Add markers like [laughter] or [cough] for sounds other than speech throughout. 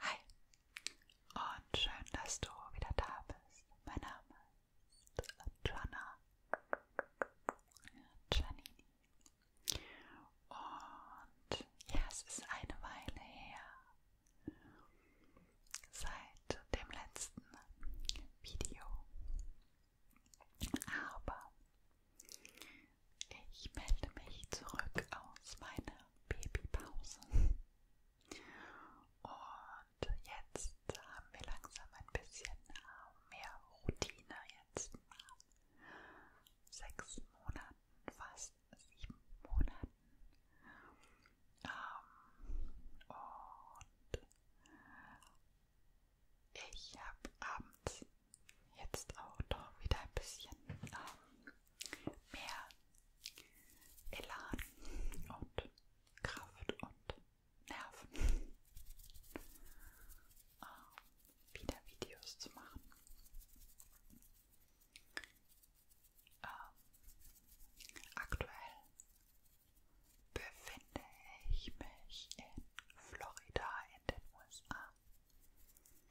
Hi und schön, dass du wieder da bist. Mein Name ist Joanna Giannini. Und ja, es ist eine Weile her, seit dem letzten Video. Aber ich melde mich zurück aus meiner Babypause. Und jetzt haben wir langsam ein bisschen mehr Routine. Jetzt nach sechs Monaten fast bis sieben Monaten. Ähm, und ich habe abends jetzt auch noch wieder ein bisschen ähm, mehr Elan und Kraft und Nerven, ähm, wieder Videos zu machen. Ähm, aktuell befinde ich mich in Florida in den USA.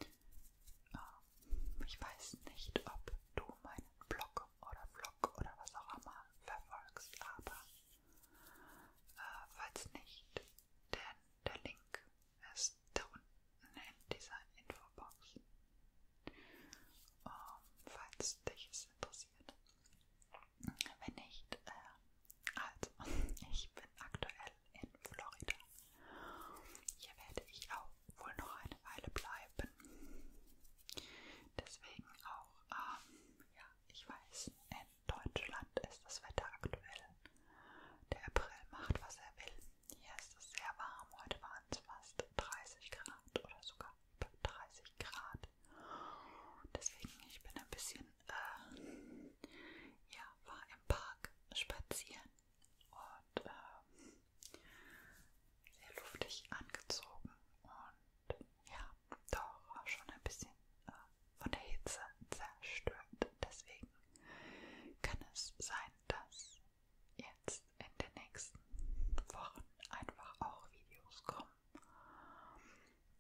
Ähm, ich weiß nicht, ob du meinen Blog oder Vlog oder was auch immer verfolgst, aber äh, falls nicht, denn der Link ist da unten in dieser Infobox, um, falls dich es interessiert. Wenn nicht, äh, also [laughs] ich bin aktuell in Florida. Hier werde ich auch wohl noch eine Weile bleiben. Deswegen auch, ähm, ja, ich weiß, in Deutschland ist das Wetter aktuell. Der April macht, was er will. Hier ist es sehr warm. Heute waren es fast 30 Grad oder sogar 30 Grad. Deswegen, ich bin ein bisschen, äh, ja, war im Park spazieren und äh, sehr luftig angezogen und ja, doch schon ein bisschen äh, von der Hitze zerstört. Deswegen kann es sein, dass jetzt in den nächsten Wochen einfach auch Videos kommen,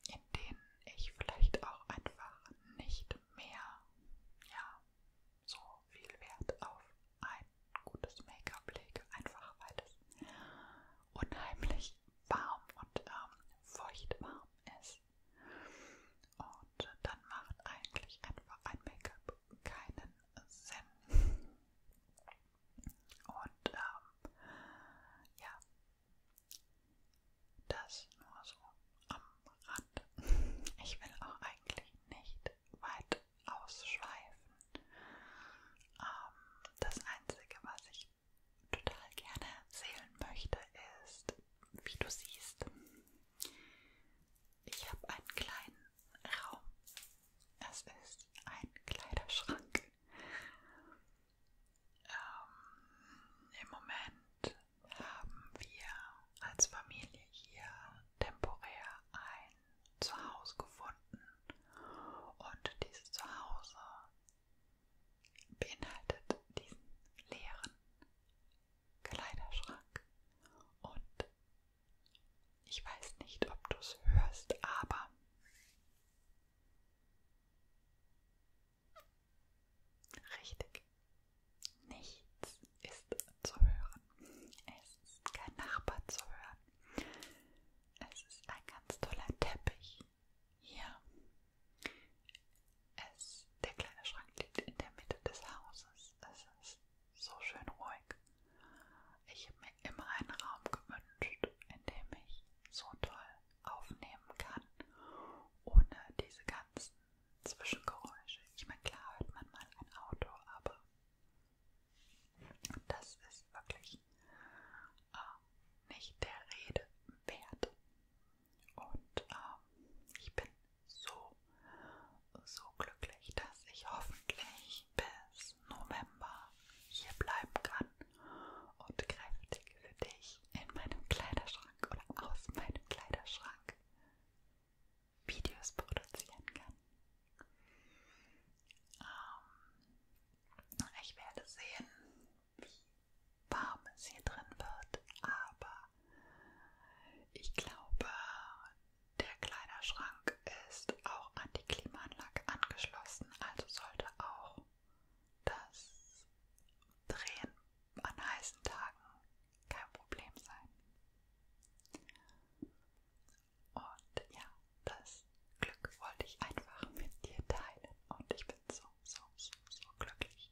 in denen ich vielleicht auch einfach nicht mehr ja, so viel Wert auf ein gutes Make-up lege, einfach weil es unheimlich warm und ähm, feucht warm ist. Und dann macht eigentlich einfach ein Make-up keinen Sinn. Und ähm, ja, das nur so am Rand. Ich will auch eigentlich nicht weit ausschweifen. Ähm, das Einzige, was ich total gerne erzählen möchte, ist, wie du siehst, ich habe einen kleinen Raum. Es ist ein Kleiderschrank. Ähm, Im Moment haben wir als Familie hier temporär ein Zuhause gefunden und dieses Zuhause beinhaltet diesen leeren Kleiderschrank und ich weiß nicht, ob du es hörst, aber richtig. Nichts ist zu hören. Es ist kein Nachbar zu hören. Es ist ein ganz toller Teppich hier. Es, der kleine Schrank liegt in der Mitte des Hauses. Es ist so schön ruhig. Ich habe mir immer einen Raum gewünscht, in dem ich so toll aufnehmen kann, ohne diese ganzen Zwischengeräusche. Ich meine, klar hört man mal ein Auto, aber das ist wirklich äh, nicht der Rede wert. Und äh, ich bin so so glücklich, dass ich hoffentlich bis November hier bleiben kann und kräftig für dich in meinem Kleiderschrank oder aus meinem Kleiderschrank Videos produzieren kann. Ähm, ich werde sehen, wie warm es hier drin wird, aber ich glaube, der Kleiderschrank ist auch an die Klimaanlage angeschlossen, also sollte auch das Drehen an heißen Tagen kein Problem sein. Und ja, das Glück wollte ich einfach mit dir teilen und ich bin so, so, so, so glücklich.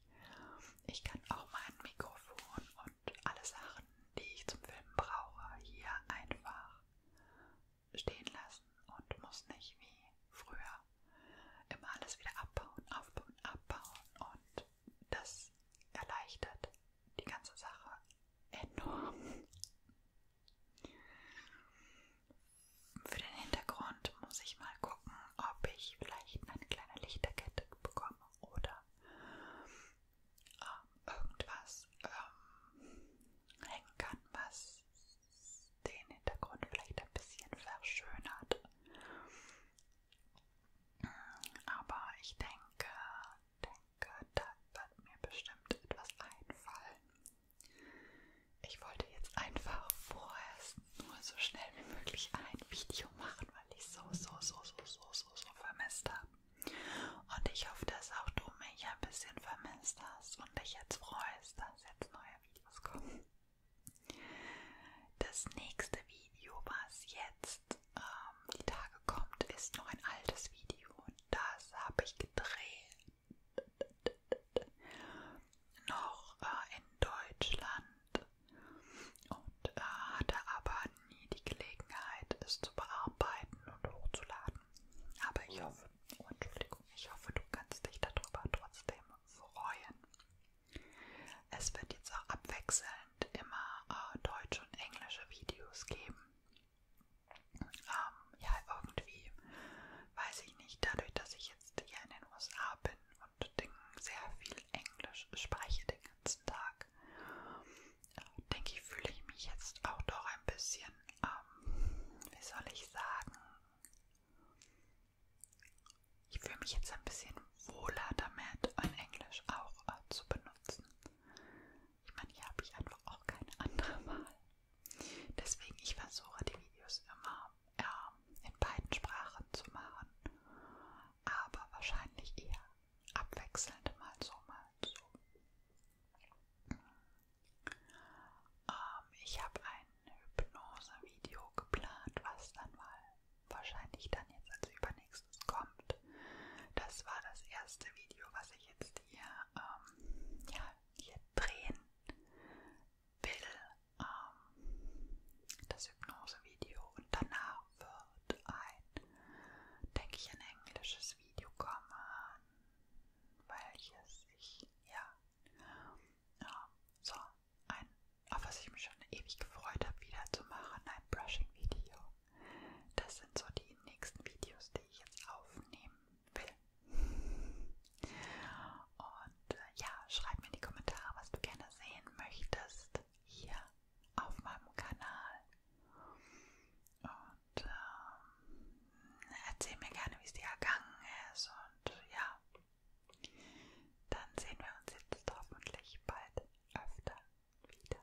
Ich kann auch mein Mikrofon und alle Sachen, die ich zum Filmen brauche, hier einfach stehen lassen und muss nicht wie früher immer alles wieder abbauen, aufbauen, abbauen und das erleichtert die ganze Sache enorm. Für den Hintergrund muss ich mal gucken, ob ich vielleicht eine kleine Lichterkette bekomme oder ähm, irgendwas ähm, hängen kann, was den Hintergrund vielleicht ein bisschen verschönert. Aber ich denke, denke, da wird mir bestimmt etwas einfallen. Ich wollte jetzt einfach vorerst nur so schnell wie möglich ein Video machen, weil ich so, so, so, so, so, so, so vermisst habe. Und ich hoffe, dass auch du mich ein bisschen vermisst hast und dich jetzt freust, dass jetzt neue Videos kommen. Das nächste Video, was jetzt ähm, die Tage kommt, ist noch ein altes Video. Das habe ich gedreht. Noch äh, in Deutschland und äh, hatte aber nie die Gelegenheit, es zu bearbeiten und hochzuladen. Aber ich hoffe, oh, Entschuldigung, ich hoffe, du kannst dich darüber trotzdem freuen. Es wird jetzt auch abwechselnd immer äh, deutsche und englische Videos geben. Ähm, ja, irgendwie weiß ich nicht, dadurch, dass ich jetzt hier in den USA bin und den sehr viel Englisch spreche den ganzen Tag, mag, äh, denke ich, fühle ich mich jetzt auch doch ein bisschen, ähm, wie soll ich sagen, ich fühle mich jetzt ein bisschen wohler damit, ein Englisch auch äh, zu benutzen. Ich meine, hier habe ich einfach auch keine andere [laughs] Wahl. Deswegen, ich versuche die Videos immer äh, in beiden Sprachen zu machen, aber wahrscheinlich eher abwechselnd mal so, mal so. Ähm, ich habe ein Hypnose-Video geplant, was dann mal wahrscheinlich dann jetzt als übernächstes kommt. Das war das erste Video, was ich jetzt hier, ähm, ja, hier drehen will. Ähm, das Hypnose-Video und danach wird ein, denke ich, ein englisches nächstes Video kommen, welches ich, ja, ja so, ein, auf was ich mich schon ewig gefreut habe, wieder zu machen, ein Brushing-Video. Das sind so die nächsten Videos, die ich jetzt aufnehmen will. Und äh, ja, schreib mir in die Kommentare, was du gerne sehen möchtest hier auf meinem Kanal. Und und ähm, erzähl mir gerne, wie es dir ergangen ist und ja, dann sehen wir uns jetzt hoffentlich bald öfter wieder.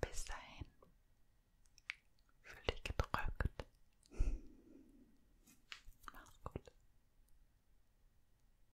Bis dahin, fühl dich gedrückt. Mach's gut.